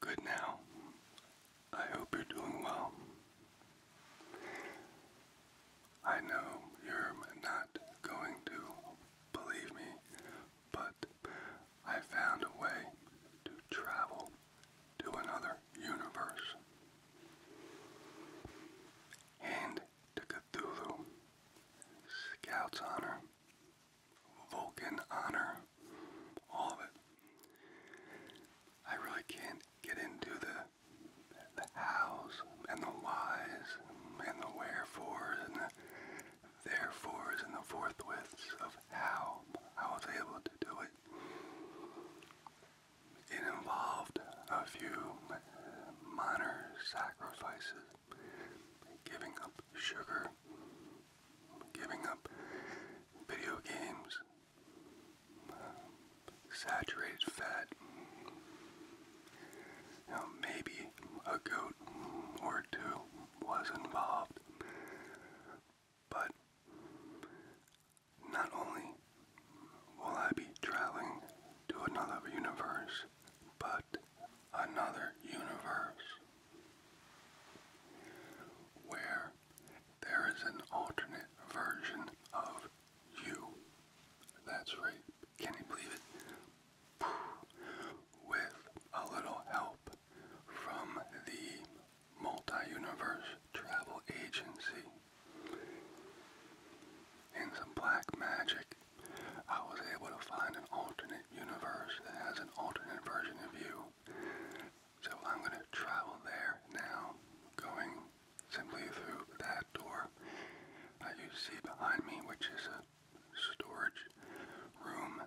Good now. I hope you're doing well. I know you're not going to believe me, but I found a way to travel to another universe. And to Cthulhu, Scout's honor, Volcan honor, all of it. I really can't get into the the hows and the whys and the wherefores and the therefores and the forthwiths of how I was able to do it. It involved a few minor sacrifices, giving up sugar, giving up video games, uh, saturated fat, maybe a goat or two was involved, but not only will I be traveling to another universe, but another universe where there is an alternate version of you. That's right. Can you believe it? With a little help from the multi Travel Agency and some black magic I was able to find an alternate universe that has an alternate version of you. So I'm going to travel there now, going simply through that door you see behind me, which is a storage room,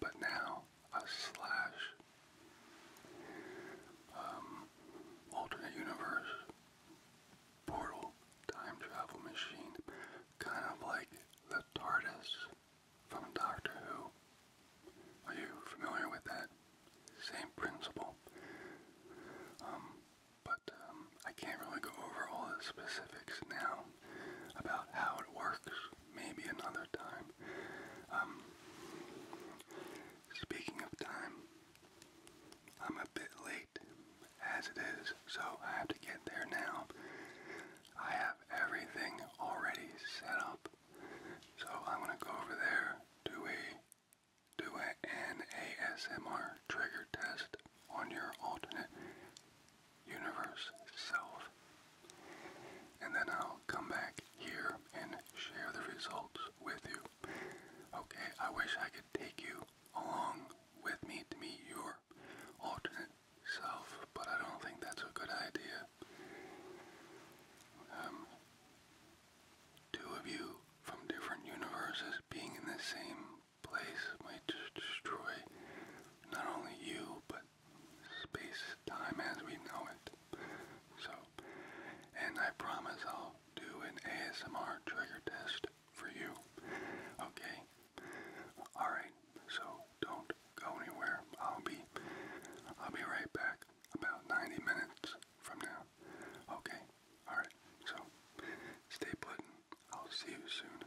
but now a slash um, alternate universe portal time travel machine. Kind of like the TARDIS from Doctor Who. Are you familiar with that? Same principle. Um, but um, I can't really go over all the specifics now about how it works. Maybe another time. Um, speaking of time, I'm a bit late as it is, so I have to get there now. I have everything already set up, so I'm gonna go over there, do a do a, trigger test on your alternate universe self, and then I'll come back here and share the results with you. Okay, I wish I could take you along with me to meet your alternate self, but I don't think that's a good idea. Um, two of you from different universes being in the same place might destroy not only you, but space, time as we know it. So, and I promise I'll do an ASMR trigger test for you. Okay, Alright, so don't go anywhere. I'll be I'll be right back about 90 minutes from now. Okay, alright, so stay put I'll see you soon.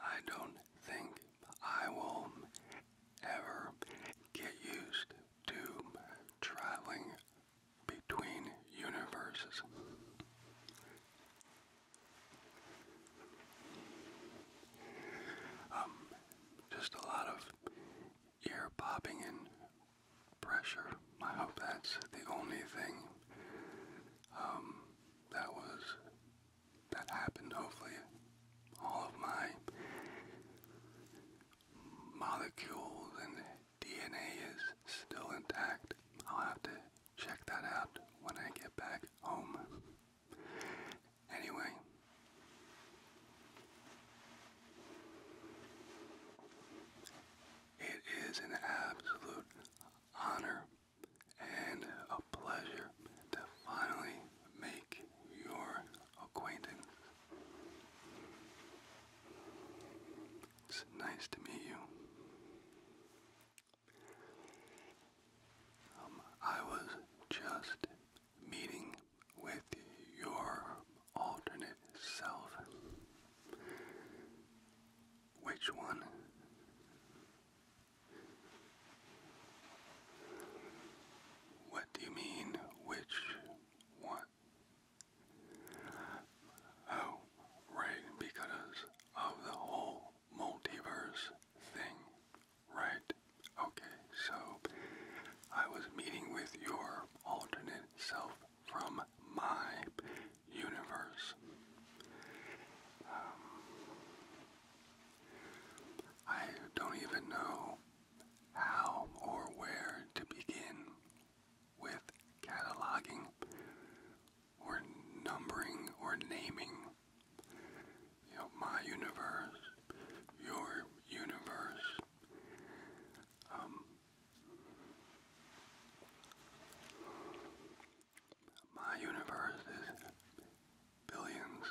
I don't think I will ever get used to traveling between universes. Um, just a lot of ear popping and pressure. I hope that's the only thing um, that was that happened. Hopefully, all of my molecules and DNA is still intact. I'll have to check that out when I get back home. Anyway, it is an absolute honor and a pleasure to finally make your acquaintance. nice to meet you. Um, I was just meeting with your alternate self. Which one? What do you mean, which one? Oh, right, because of the whole multiverse thing, right? Okay, so I was meeting with your alternate self from my universe. Um, I don't even know how or where to begin with cataloging or numbering or naming my universe your universe um, my universe is billions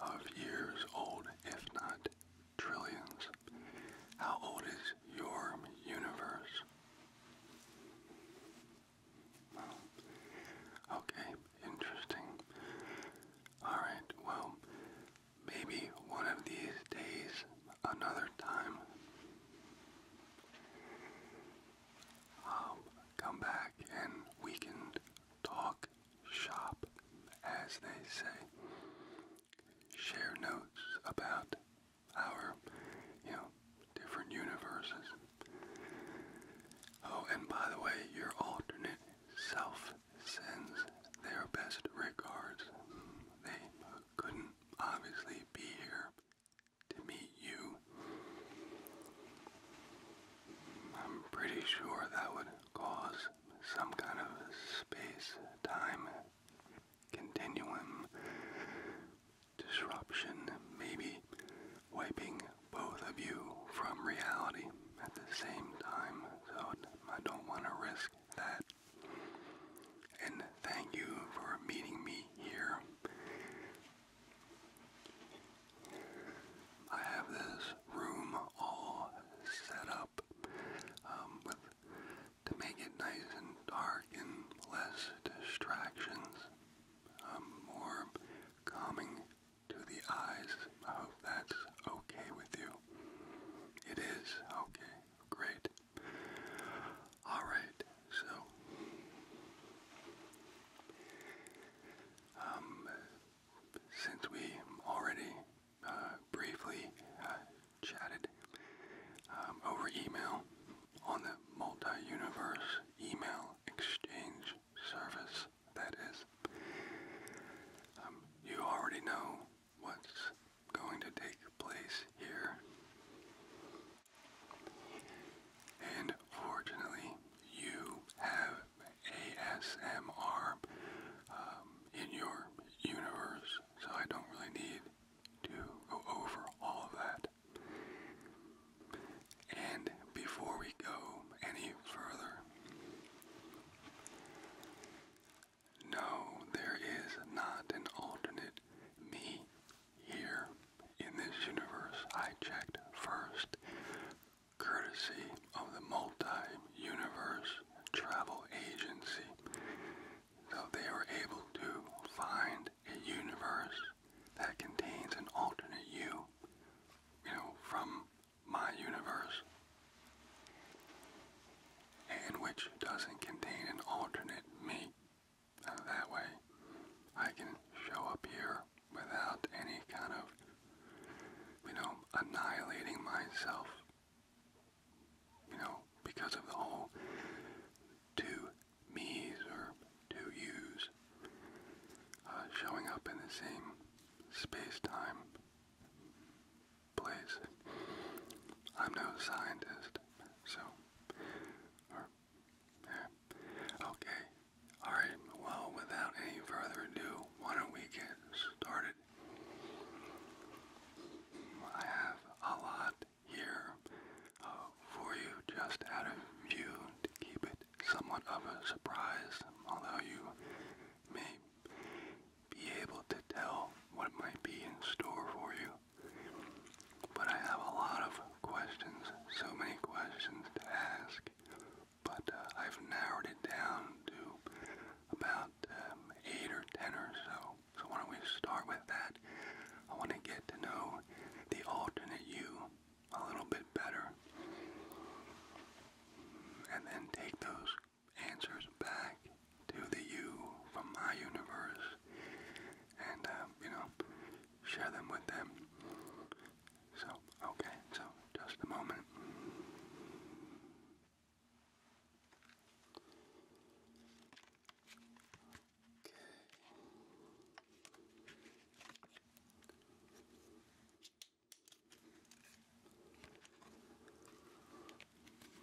of years old, if not trillions. How old is your universe? okay, interesting. Alright, well, maybe one of these days, another time. Um, come back and we can talk shop, as they say. Share notes about our, you know, different universes. Oh, and by the way, your alternate self sends their best regards. They couldn't obviously be here to meet you. I'm pretty sure that would cause some kind of space time continuum disruption, maybe wiping both of you from reality at the same time. So I don't want to risk that. And thank you for meeting me here. I have this room all set up um, to make it nice and dark and less distractions, um, more calming to the eyes. I hope that's okay with you. It is okay. Great. Alright, so um, since we already uh, briefly uh, chatted um, over email on the multi-universe email exchange service, that is, um, you already know what's going to take place here. And fortunately, you have ASMR um, in your universe, so I don't really need to go over all of that. And before we go any further, no, there is not an alternate me here in this universe I checked first, courtesy of the Multi-Universe Travel Agency. So they were able to find a universe that contains an alternate you, you know, from my universe, and which doesn't contain an alternate me. that way, I can show up here without any kind of, you know, annihilating myself. You know, because of the whole two me's or two you's uh, showing up in the same space-time place. I'm no scientist, so, Okay, alright, well, without any further ado, why don't we get started? I have a lot here uh, for you just out of view to keep it somewhat of a surprise, although you may be able to tell what might be in store for you. But I have a lot of questions, so many questions to ask, but uh, I've narrowed it down to about um, eight or ten or so. So why don't we start with that? I want to get to know the alternate you a little bit better, and then take those answers back to the you from my universe, and um, you know, share them with them. So, okay, so just a moment.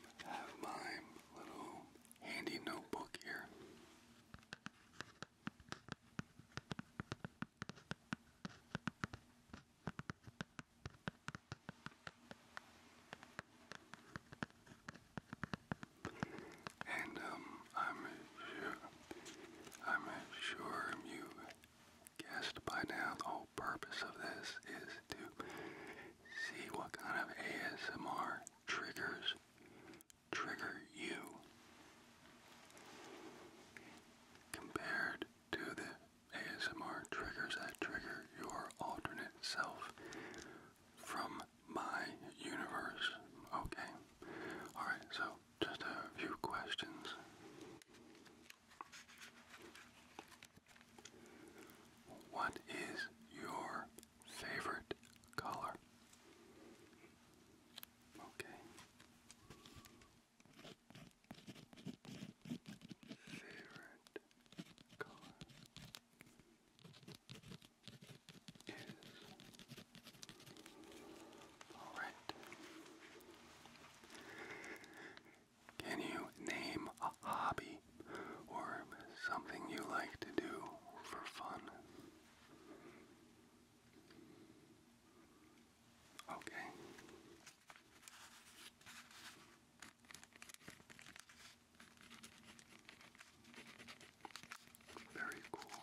Okay. have my little handy notebook here. And um, I'm sure, I'm sure you guessed by now the whole purpose of this is to see what kind of ASMR triggers trigger you compared to the ASMR triggers that trigger your alternate self from my universe. Okay. Alright, so just a few questions. What is your favorite color? Okay. Favorite color is all right. Can you name a hobby or something you like to do for fun? Okay. Very cool.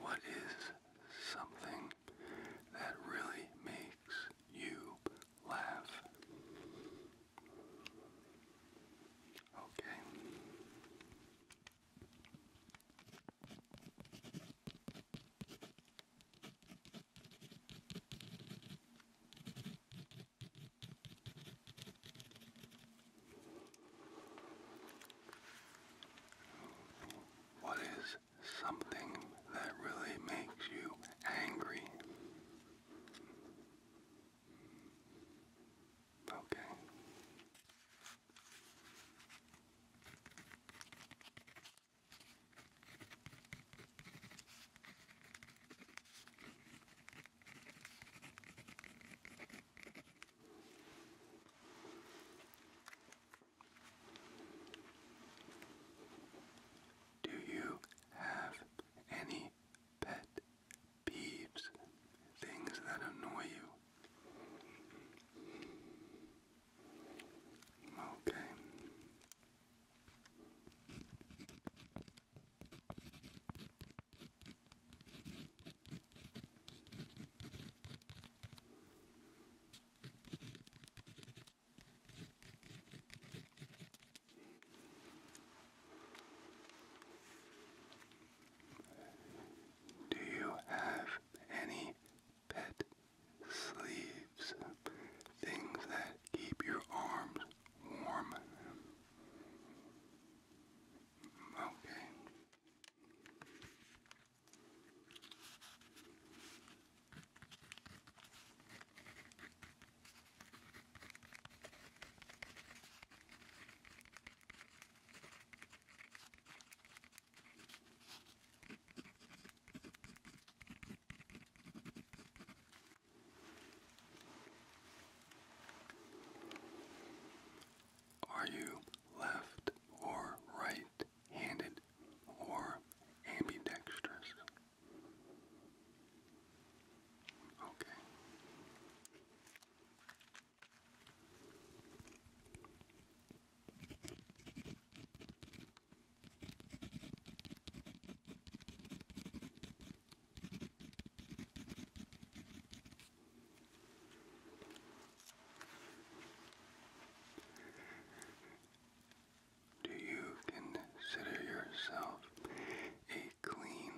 What is something that really makes you laugh. Okay. What is something that really makes you angry. Okay. Do you have any pet peeves? Things that annoy you? Okay. Do you have any pet sleeves? Things that keep your arms warm? Okay. Are you left or right handed, or ambidextrous. Okay. Do you consider yourself a clean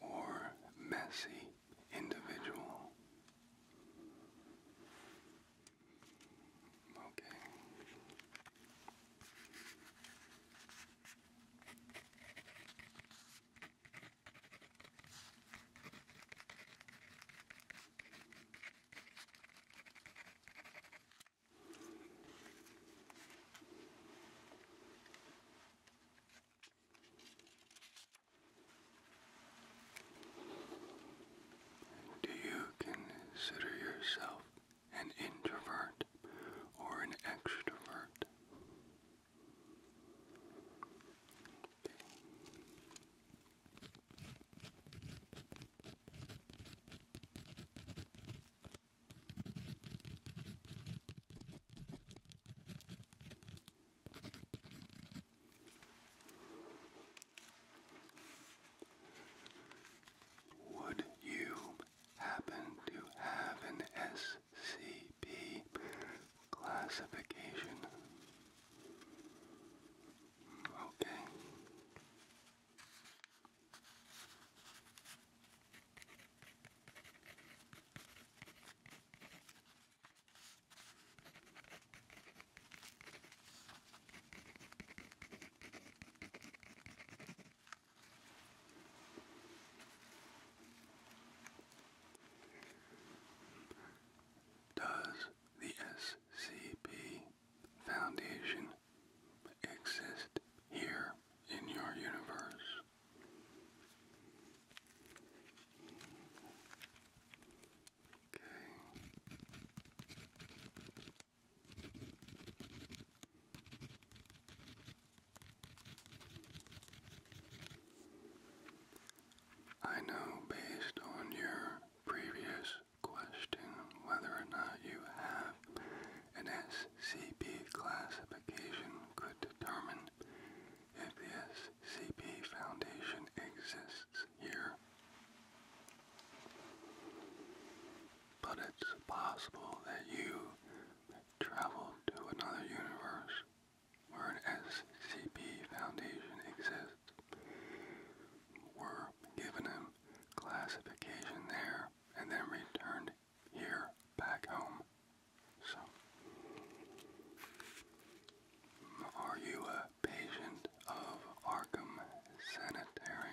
or messy individual? Okay. Do you consider yourself an introvert or an extrovert? Would you happen to have an SCP classification? Okay. Does the SCP Foundation exist here in your universe? Okay. I know based on your previous question whether or not you have an SCP classification could determine if the SCP Foundation exists here. But it's possible that you traveled to another universe where an SCP Foundation exists were given a classification there and then returned here back home. So, are you a patient of Arkham Sanitarium?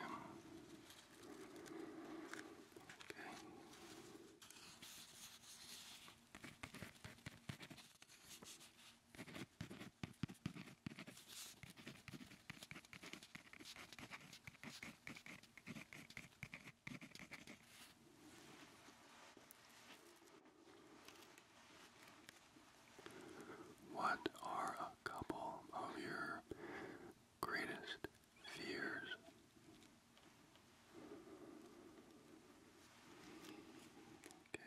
What are a couple of your greatest fears? Okay.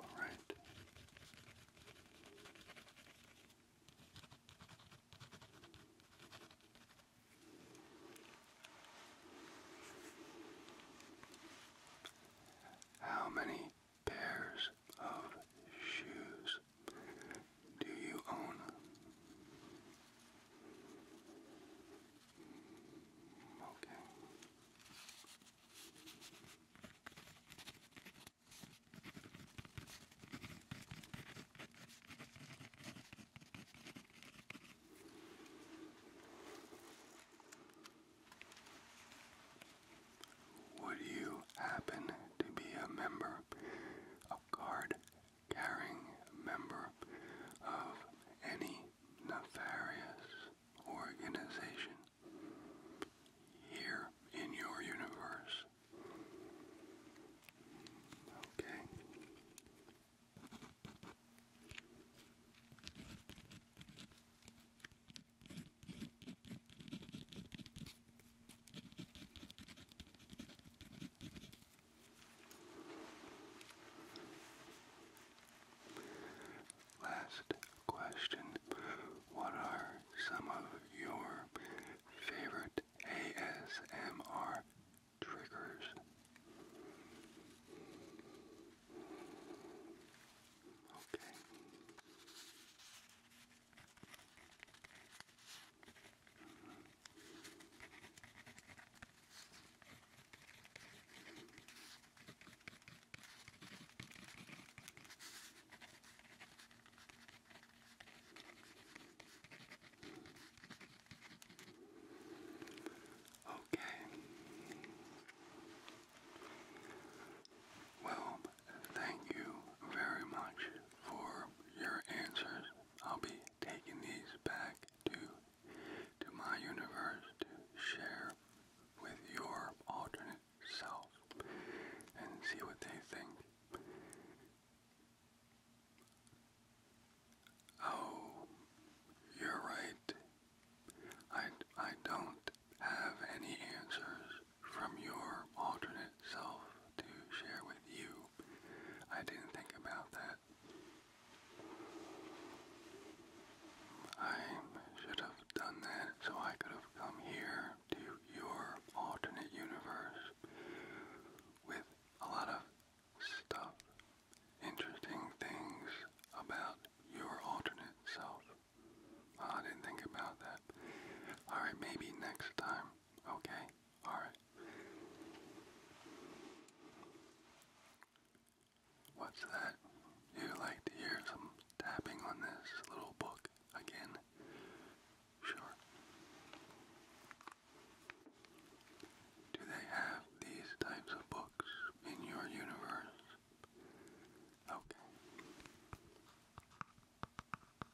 All right. How many pairs of shoes do you own? Okay. Would you happen to be a member, a card-carrying member of any nefarious organization here in your universe? Okay. Last question. What are some of your favorite ASMR triggers? Okay. Okay. Well, Thank you very much for your answers. I'll be taking these back to to my universe to share with your alternate self and see what they think. Oh, you're right. I, I don't have any answers from your alternate self to share with you. I didn't think about that. I should have done that so I could have come here to your alternate universe with a lot of stuff, interesting things about your alternate self. I didn't think about that. Alright, maybe next time Okay, alright. What's that? You like to hear some tapping on this little book again? Sure. Do they have these types of books in your universe? Okay.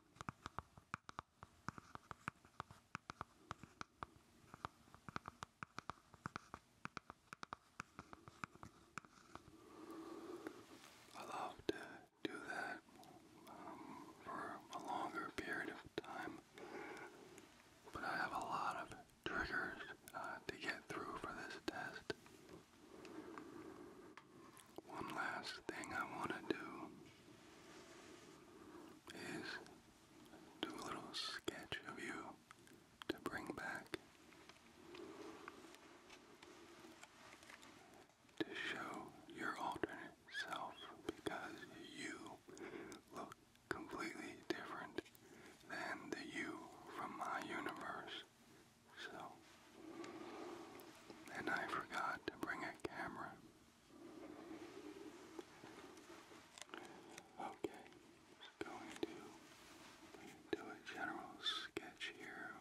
I love to do that um, for a longer period of time, but I have a lot of triggers uh, to get through for this test. One last thing I want to do is do a little sketch of you to bring back to show your alternate self because you look completely different than the you from my universe so, and I forgot to bring a camera. Okay, going to do a general sketch here.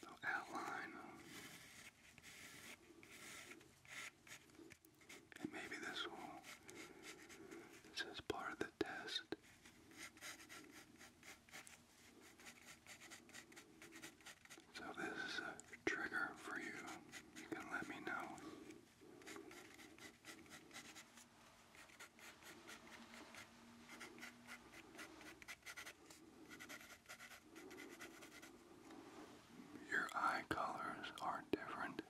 The outline maybe this will, this is part of the test. So this is a trigger for you, you can let me know your eye colors are different.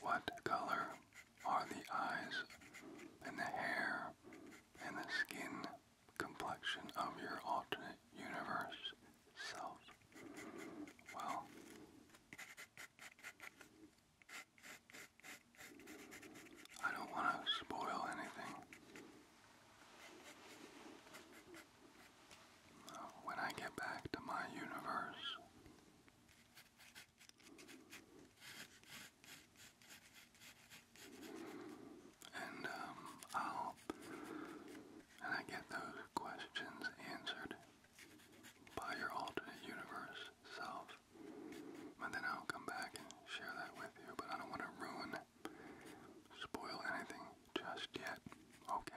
What color are the eyes and the hair and the skin complexion of your alternate universe self? Well, I don't want to spoil anything. When I get back to my universe, and um, I'll and I get those questions answered by your alternate universe self, and then I'll come back and share that with you. But I don't want to ruin spoil anything just yet, okay?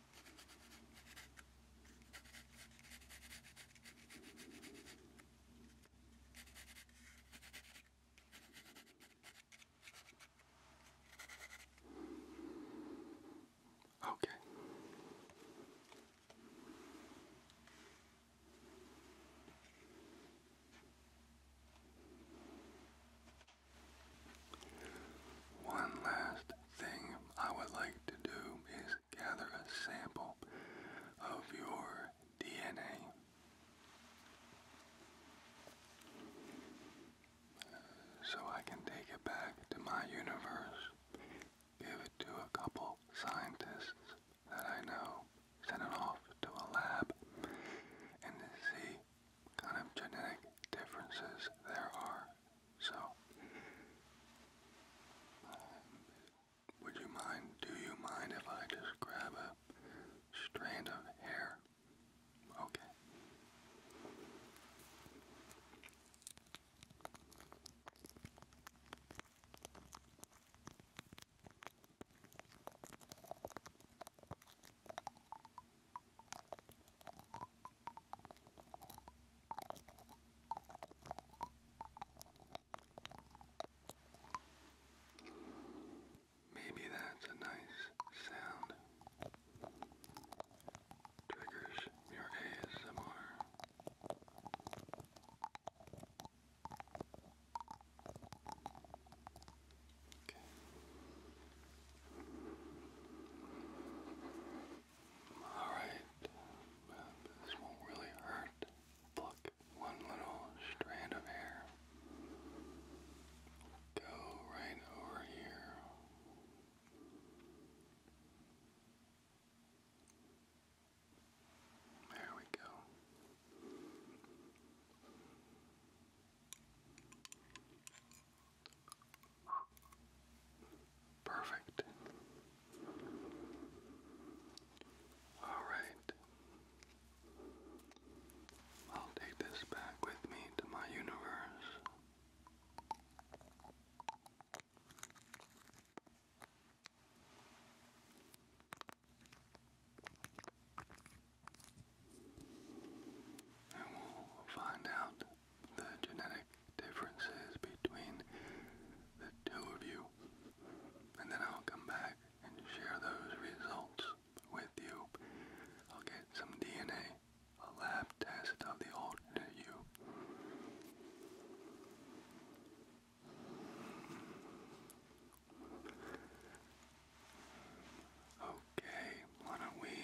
Okay. One last thing I would like to do is gather a sample of your DNA. So I can take it back to my universe, give it to a couple scientists that I know, send it off to a lab, and see kind of genetic differences there are so, would you mind, do you mind if I just grab a strand of hair? Okay. Maybe that's a nice sound. Triggers your ASMR. Okay. Alright, this won't really hurt. Pluck one little strand of hair. Go right over here. There we go. Perfect. All right. I'll take this back with me to my universe. And we'll find out the genetic differences between the two of you, and then I'll come back and share those results with you. I'll get some DNA, a lab test of the old you. Okay, why don't we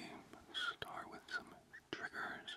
start with some triggers?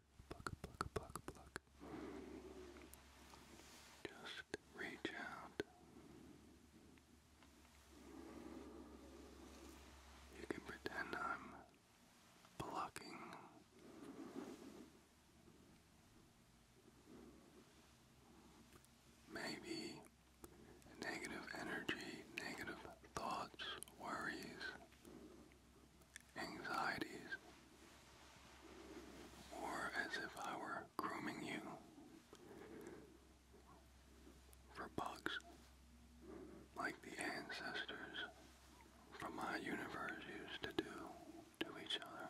pluck, pluck, pluck, pluck, pluck. Just reach out. You can pretend I'm plucking. Maybe negative energy, negative thoughts, worries, anxieties, or as if I were grooming you for bugs, like the ancestors from my universe used to do to each other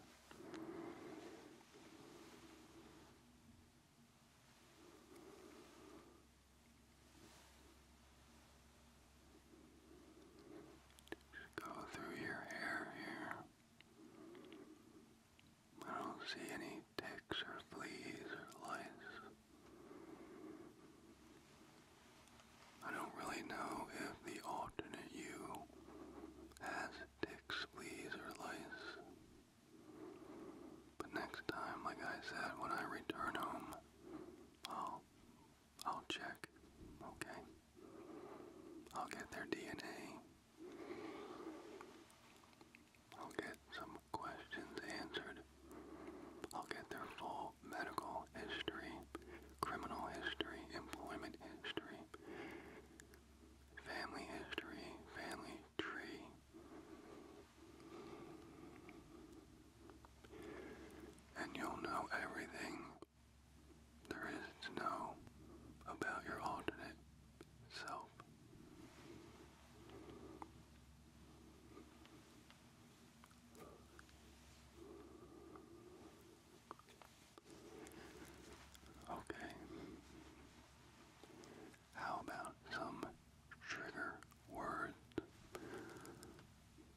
go through your hair here. I don't see any ticks or fleas or lice. I don't really know if the alternate you has ticks, fleas, or lice. But next time, like I said, when I return home, I'll I'll check, okay? I'll get their DNA. I'll get some questions answered. I'll get their full medical history, criminal history, employment history, family history, family tree. And you'll know everything there is no about your alternate self. Okay. How about some trigger words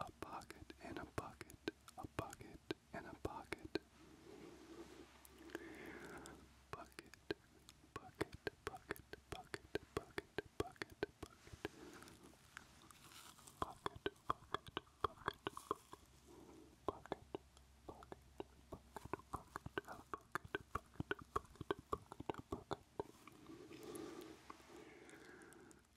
a pocket, and a bucket, a bucket, and a pocket. Bucket, bucket, bucket, bucket, bucket, bucket, bucket. Bucket, bucket, bucket, bucket, bucket. Bucket, bucket, bucket, a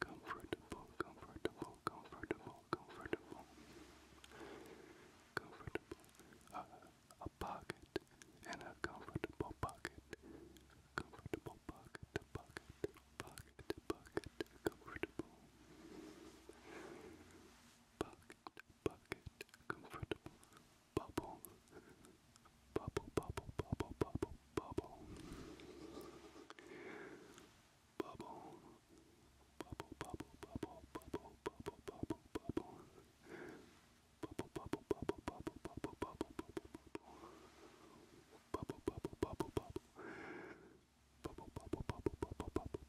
comfortable, comfortable, comfortable, comfortable, comfortable, uh, a pocket, and a comfortable pocket, comfortable pocket, pocket, pocket, pocket, comfortable, pocket, pocket, comfortable, bubble, Bubble, bubble, bubble, bubble, bubble. Bubble. Bubble, bubble, bubble, bubble, bubble, bubble, bubble. Bubble, bubble, bubble, bubble, bubble, bubble, bubble. Bubble, bubble, bubble, bubble. Bubble, bubble, bubble, bubble, bubble, bubble, bubble.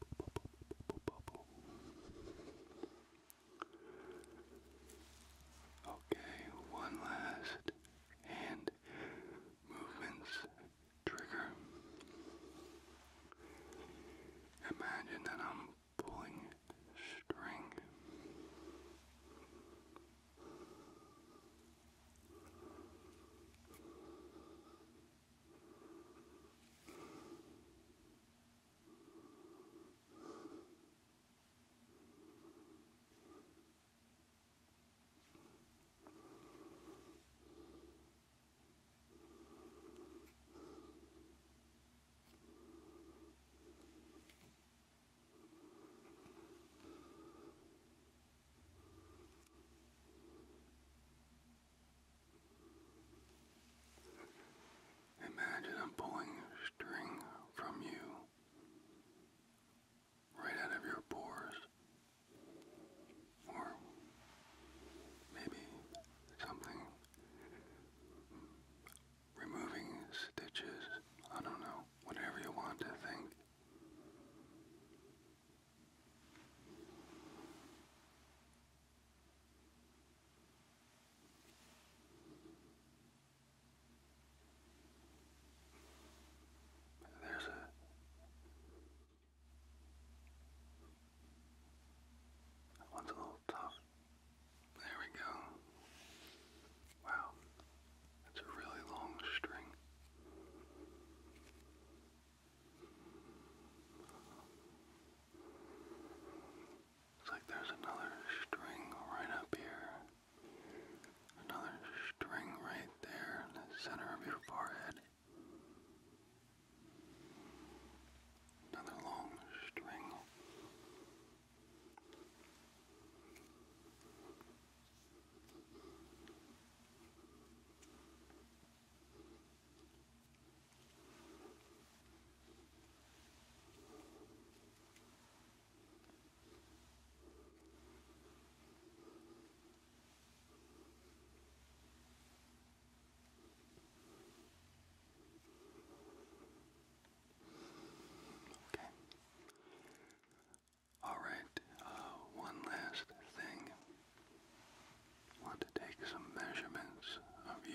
Okay, one last hand movements trigger. Imagine that I'm pulling string. Imagine I'm pulling string from you right out of your pores. Or maybe something removing stitches. I don't know. Whatever you want to think. There's a that one's a little tough. There we go. Wow. That's a really long string. It's like there's another string right up here. Another string right there in the center of your forehead. Another long string. Okay. All right, uh, one last thing. Want to take some measurements of you.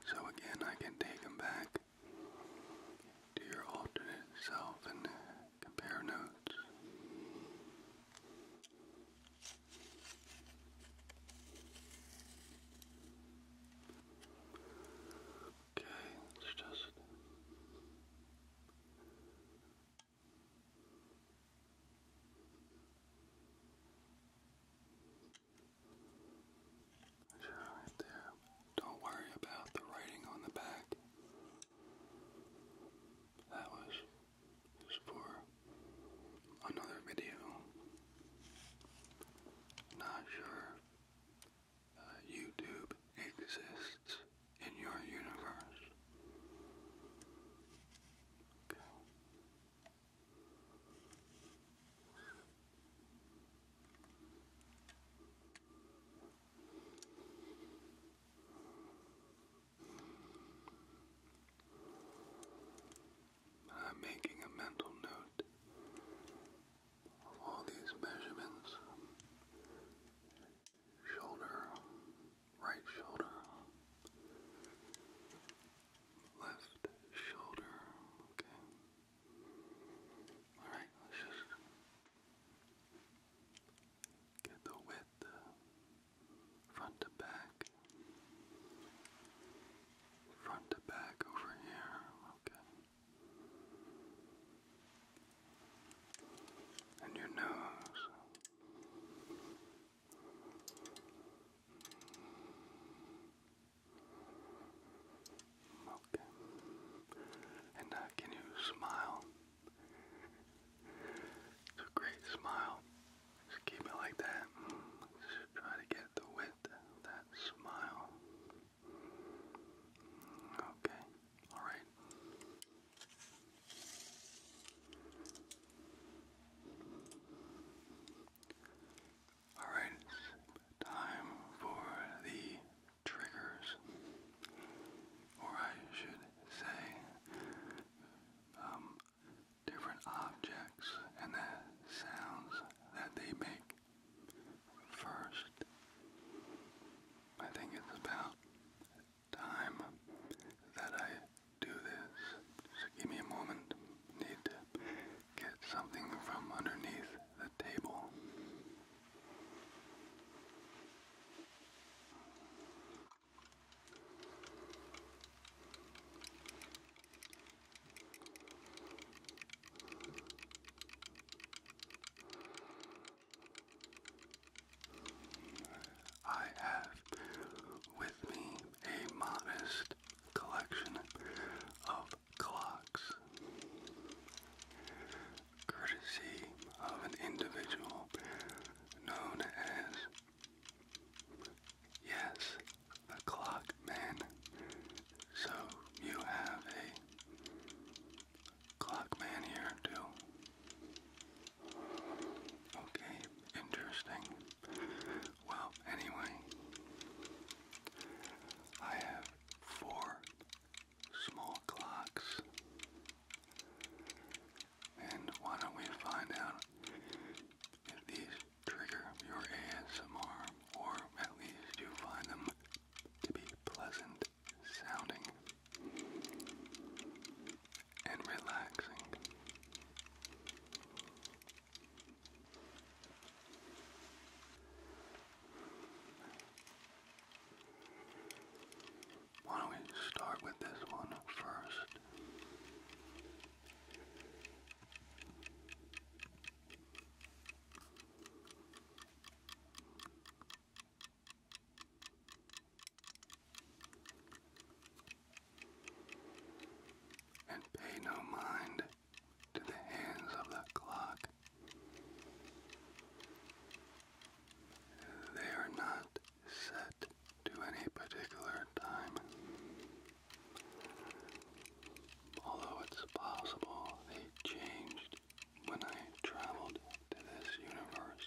So again, I can take them back to your alternate self and compare notes. Okay, let's just. Just right Don't worry about the writing on the back. That was for another video. Not sure uh, YouTube exists in your universe. I'm making a mental note of all these measurements shoulder, right shoulder, left shoulder, okay. Alright, let's just get the width uh, front to back. Front to back over here. Okay. And your nose. Okay. And uh, can you smile? It's a great smile. Just keep it like that. Just try to get the width of that smile. Okay. All right. Alright, it's time for the triggers. Or I should say, um, different objects and the sounds that they make. First, I think it's about time that I do this. So give me a moment. Need to get something from underneath the table. I have with me a modest collection of clocks, courtesy of an individual known as, yes, the Clock Man. So you have a Clock Man here too. Okay, interesting. Well, anyway, I have four small clocks. And why don't we find out if these trigger your ASMR or at least you find them to be pleasant sounding and relaxing. Why don't we start with this one first? And pay no mind to the hands of the clock. They are not set to any particular time. Although it's possible they changed when I traveled to this universe.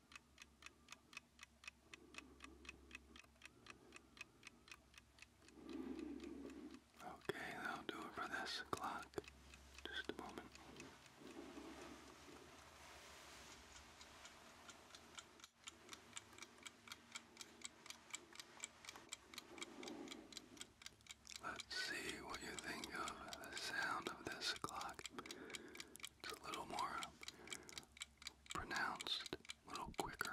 Okay, that'll do it for this clock. Just a moment. Let's see what you think of the sound of this clock. It's a little more pronounced, a little quicker.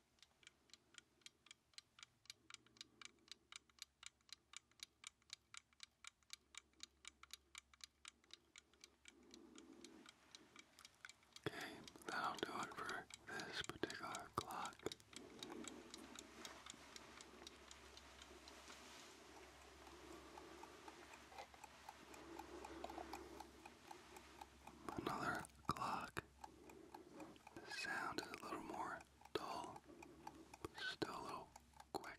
Okay, that'll do it for this particular clock. Another clock the sound is a little more dull, but still a little quick.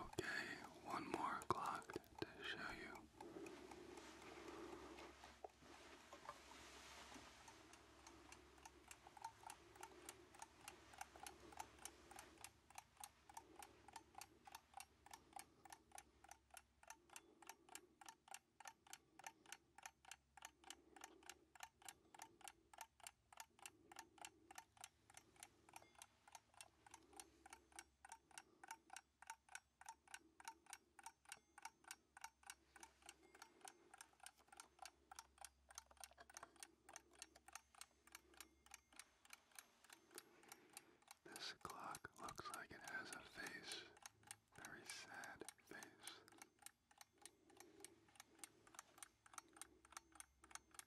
Okay, one more clock to show you. This clock looks like it has a face, very sad face.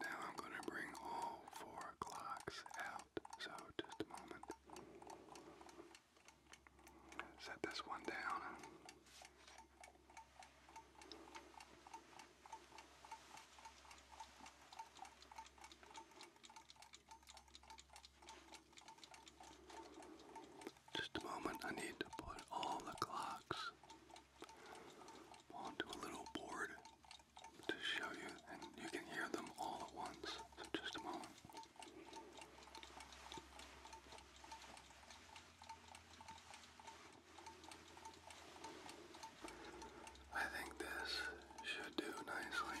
Now I'm going to bring all four clocks out. So just a moment. Set this one down. Just a moment, I need to put all the clocks onto a little board to show you, and you can hear them all at once. So just a moment. I think this should do nicely.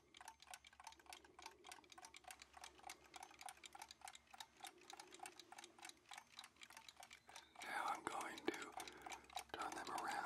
Now I'm going to turn them around.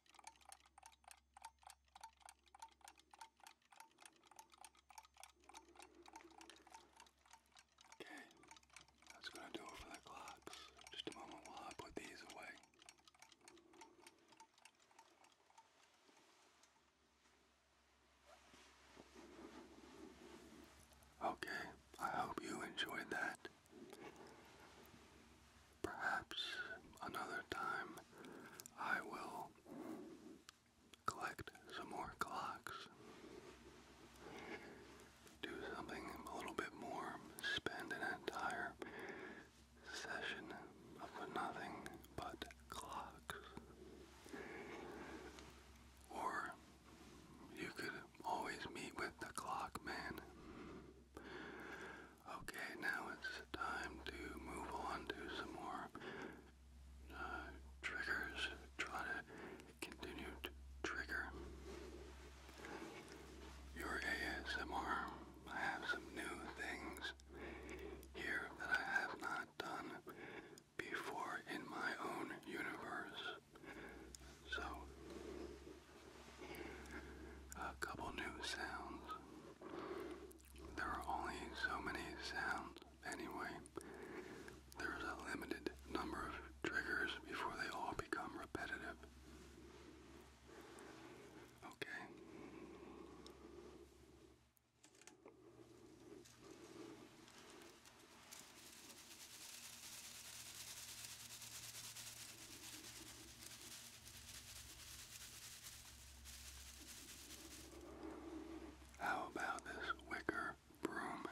Okay, that's going to do it for the clocks. Just a moment while I put these away. Okay, I hope you enjoyed that. Perhaps another time I will collect some more clocks. Do something a little bit more. Spend an entire session of nothing but clocks. Or you could always meet with the clock man. Okay, now it's time to move on to some more uh, triggers. Try to continue to trigger your ASMR. I have some new things here that I have not done before in my own universe. So, a couple new sounds. There are only so many sounds anyway. There's a limited number of triggers before they all become repetitive. Okay. How about this wicker broom?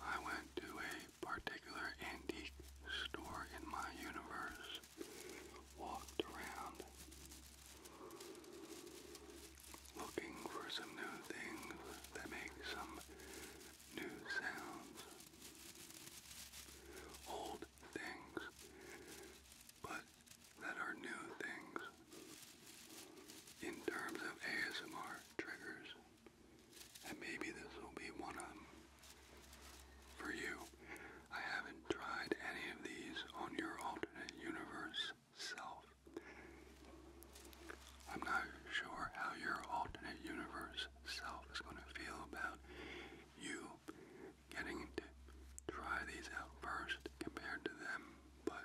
I went to a particular antique store in my universe, walked around, looking for some new things that make some new sounds. Old things, but that are new things in terms of ASMR triggers. And maybe this will be one of them for you. I haven't tried any of these on your alternate universe self. I'm not sure how your alternate universe self is going to feel about you getting to try these out first compared to them, but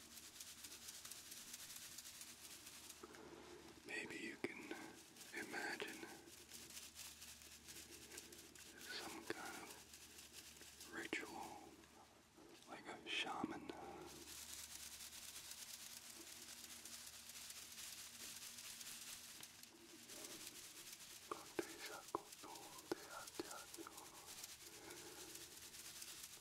Maybe you can imagine some kind of ritual, like a shaman.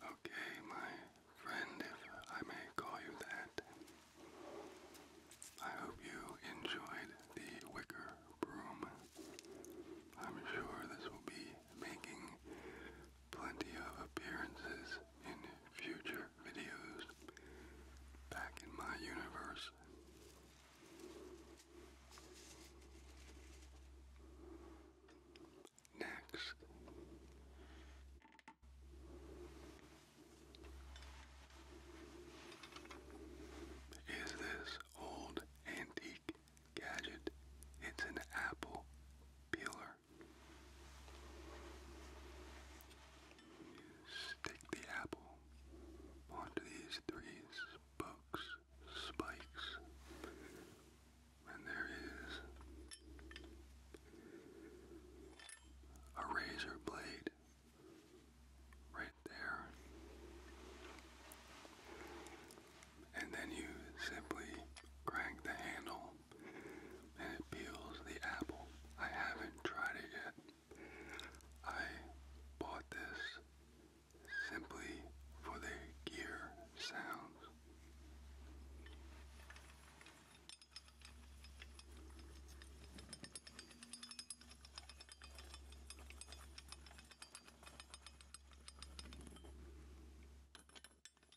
Okay, my friend, if I may call you that, I hope you enjoyed the wicker broom. I'm sure this will be making plenty of appearances in future videos back in my universe. Next. Is this old antique gadget? It's an apple peeler. Stick the apple onto these three spokes, spikes, and there is a razor blade right there. And then you simply crank the handle it peels the apple. I haven't tried it yet. I bought this simply for the gear sounds.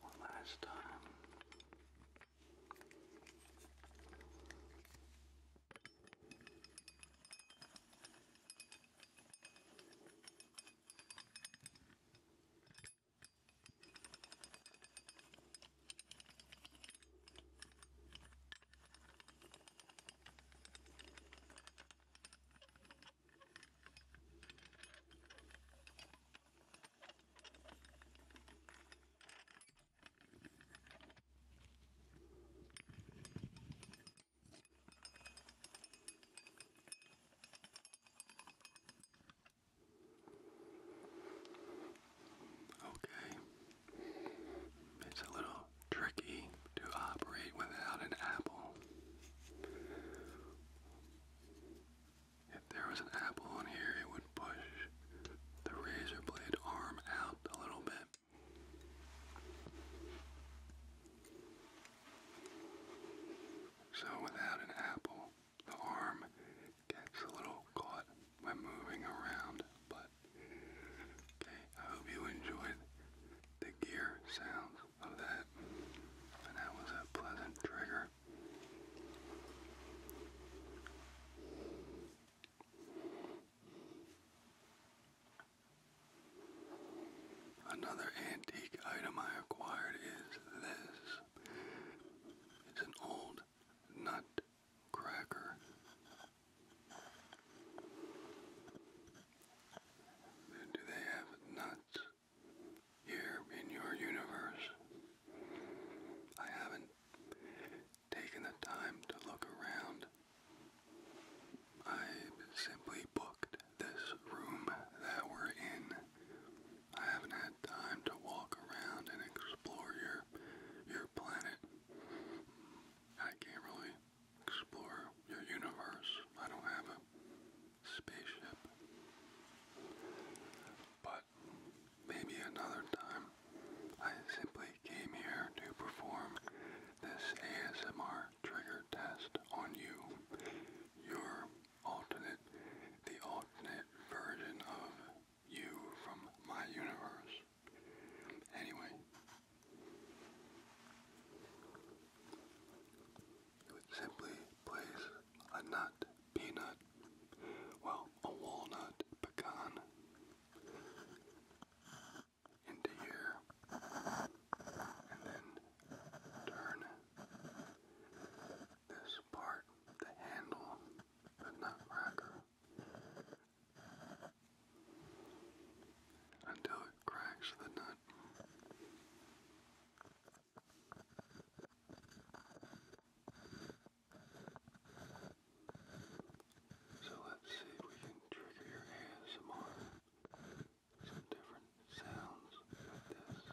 One last time. Okay, it's a little tricky to operate without an apple. If there was an apple on here, it would push the razor blade arm out a little bit. So without an apple, the arm gets a little caught when moving around, but Okay, I hope you enjoyed the gear sounds of that. And that was a pleasant trigger. Another antique item I acquired is this. It's an old nut cracker do they have nuts here in your universe? I haven't taken the time to look around. I simply booked this room that we're in. I haven't had time to walk around and explore your your planet. I can't really Explore your universe. I don't have a spaceship. But maybe another time, I simply came here to perform this ASMR trigger test on you. Your alternate, the alternate version of you from my universe. Anyway, you would simply place a nut, peanut, well, a walnut, pecan, into here, and then turn this part, the handle, the nut cracker, until it cracks the nut. So let's see if we can trigger your ASMR. Some different sounds with this.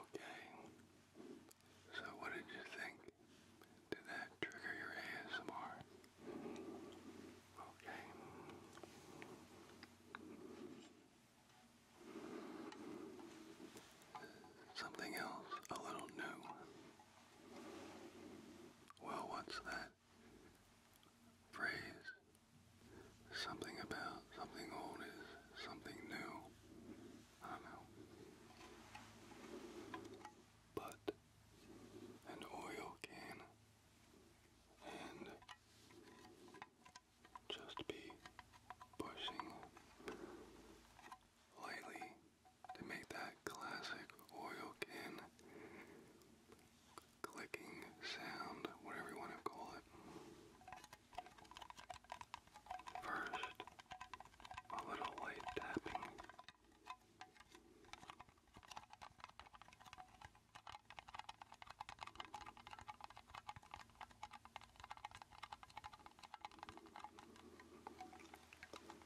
Okay. So what did you think? Did that trigger your ASMR? Okay. Something else, a little new. Well, what's that? phrase. Something about something old is something new. I don't know. But an oil can and just be pushing lightly to make that classic oil can clicking sound, whatever you want to call it. First, a little light tapping.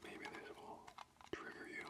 Maybe this will trigger you.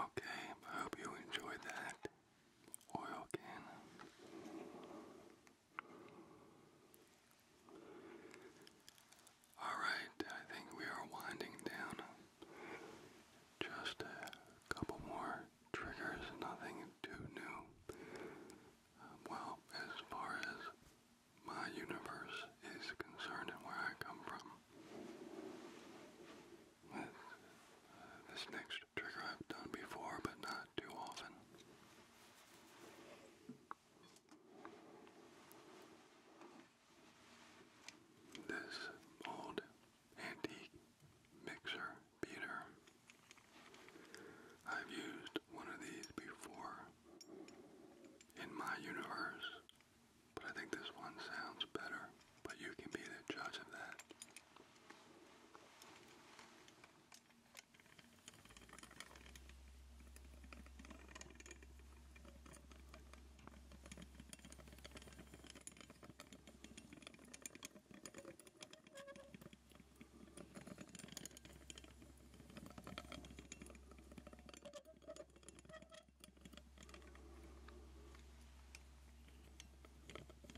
Okay, I hope you enjoyed that oil can. Alright, I think we are winding down. Just a couple more triggers, nothing too new. Um, well, as far as my universe is concerned and where I come from. Uh, this next trigger I've done before, but not too often. This old antique mixer beater. I've used one of these before in my universe, but I think this one sounds better. But you can be the judge of that.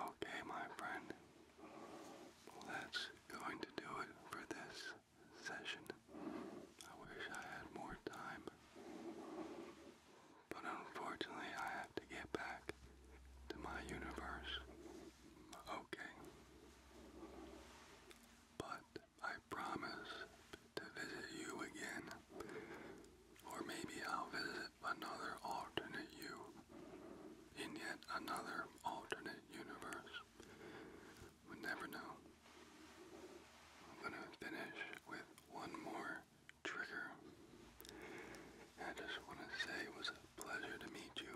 Okay, my friend, that's going to do it for this session. I wish I had more time but unfortunately I have to get back to my universe. Okay. But I promise to visit you again. Or maybe I'll visit another alternate you in yet another alternate universe. We never know. I'm gonna finish with one more Trigger. I just want to say it was a pleasure to meet you.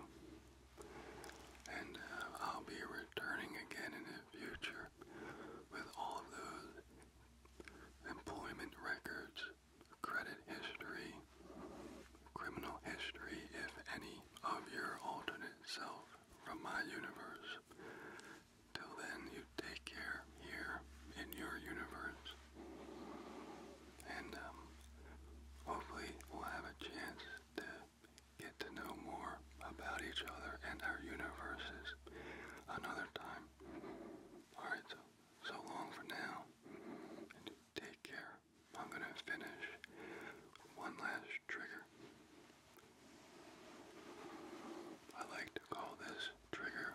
And uh, I'll be returning again in the future with all those employment records, credit history, criminal history, if any, of your alternate self from my universe. Till then, you take care here in your universe and um, hopefully we'll have a chance to get to know more about each other and our universes another time. Alright, so, so long for now. And take care. I'm going to finish one last trigger. I like to call this trigger.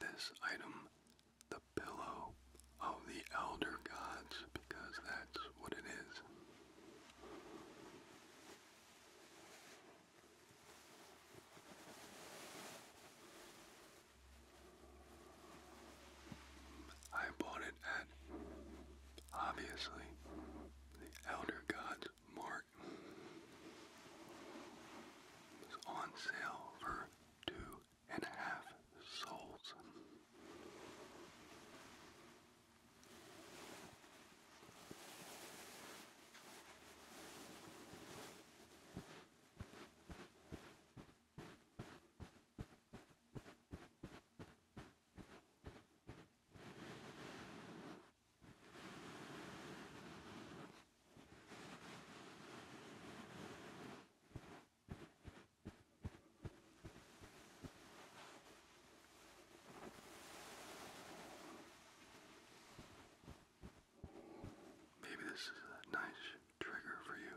This item, the pillow of the elder gods, because that's what it is. I bought it at, obviously, the Elder Gods Mark was on sale for two and a half souls. Maybe this is a nice trigger for you.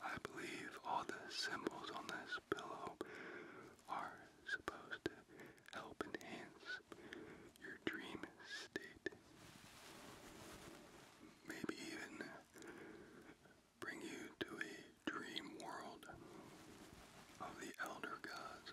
I believe all the symbols on this pillow are supposed to help enhance your dream state. Maybe even bring you to a dream world of the elder gods.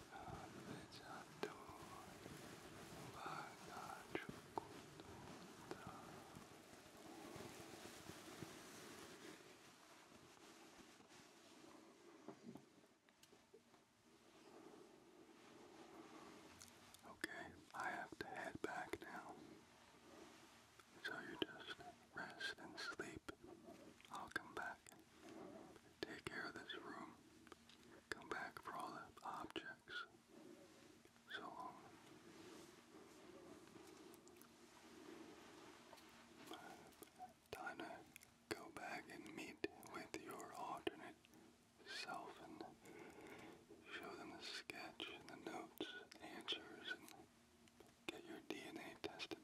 Okay, I have to head back now. So you just rest and sleep. I'll come back Take care of this room. Come back for all the objects. So long. Um, to go back and meet with your alternate self and show them the sketch the notes, answers, and get your DNA tested.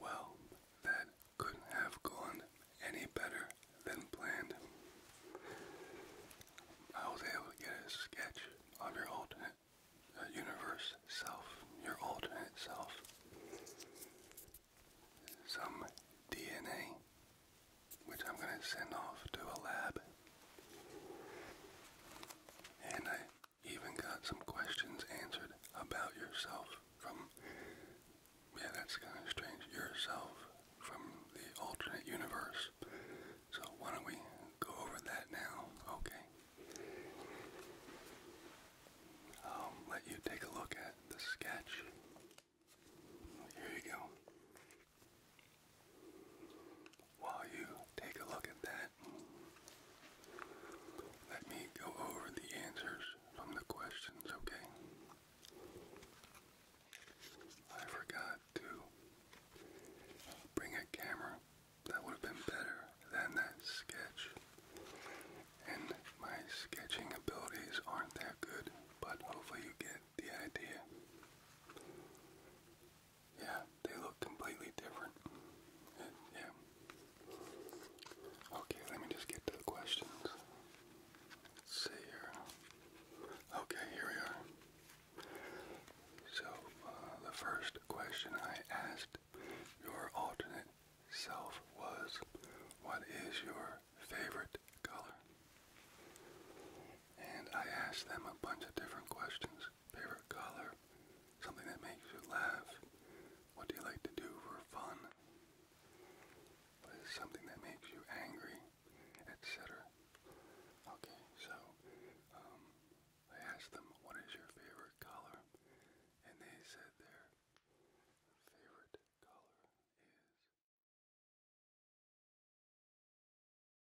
Well, that couldn't have gone any better than planned. I was able to get a sketch of your alternate uh, universe self, your alternate self, some DNA, which I'm going to send off to a lab and I even got some questions answered about yourself from, yeah, that's kind of strange, yourself from the alternate universe. So why don't we go over that now? Okay. I'll um, let you take a look at the sketch. Here you go. While you take a look at that, let me go over the answers from the questions, okay? I forgot to bring a camera. That would have been better than that sketch. And my sketching abilities aren't that good, but hopefully you get the idea. Yeah, they look completely different. yeah. Okay, let me just get to the questions. Let's see here. Okay, here we are. So, uh, the first question I asked your alternate self was, What is your favorite color? And I asked them a bunch of different questions. Favorite color? Something that makes you laugh? What do you like to do for fun? What is something that makes you angry? Etc. Okay, so um, I asked them, what is your favorite color? And they said their favorite color is.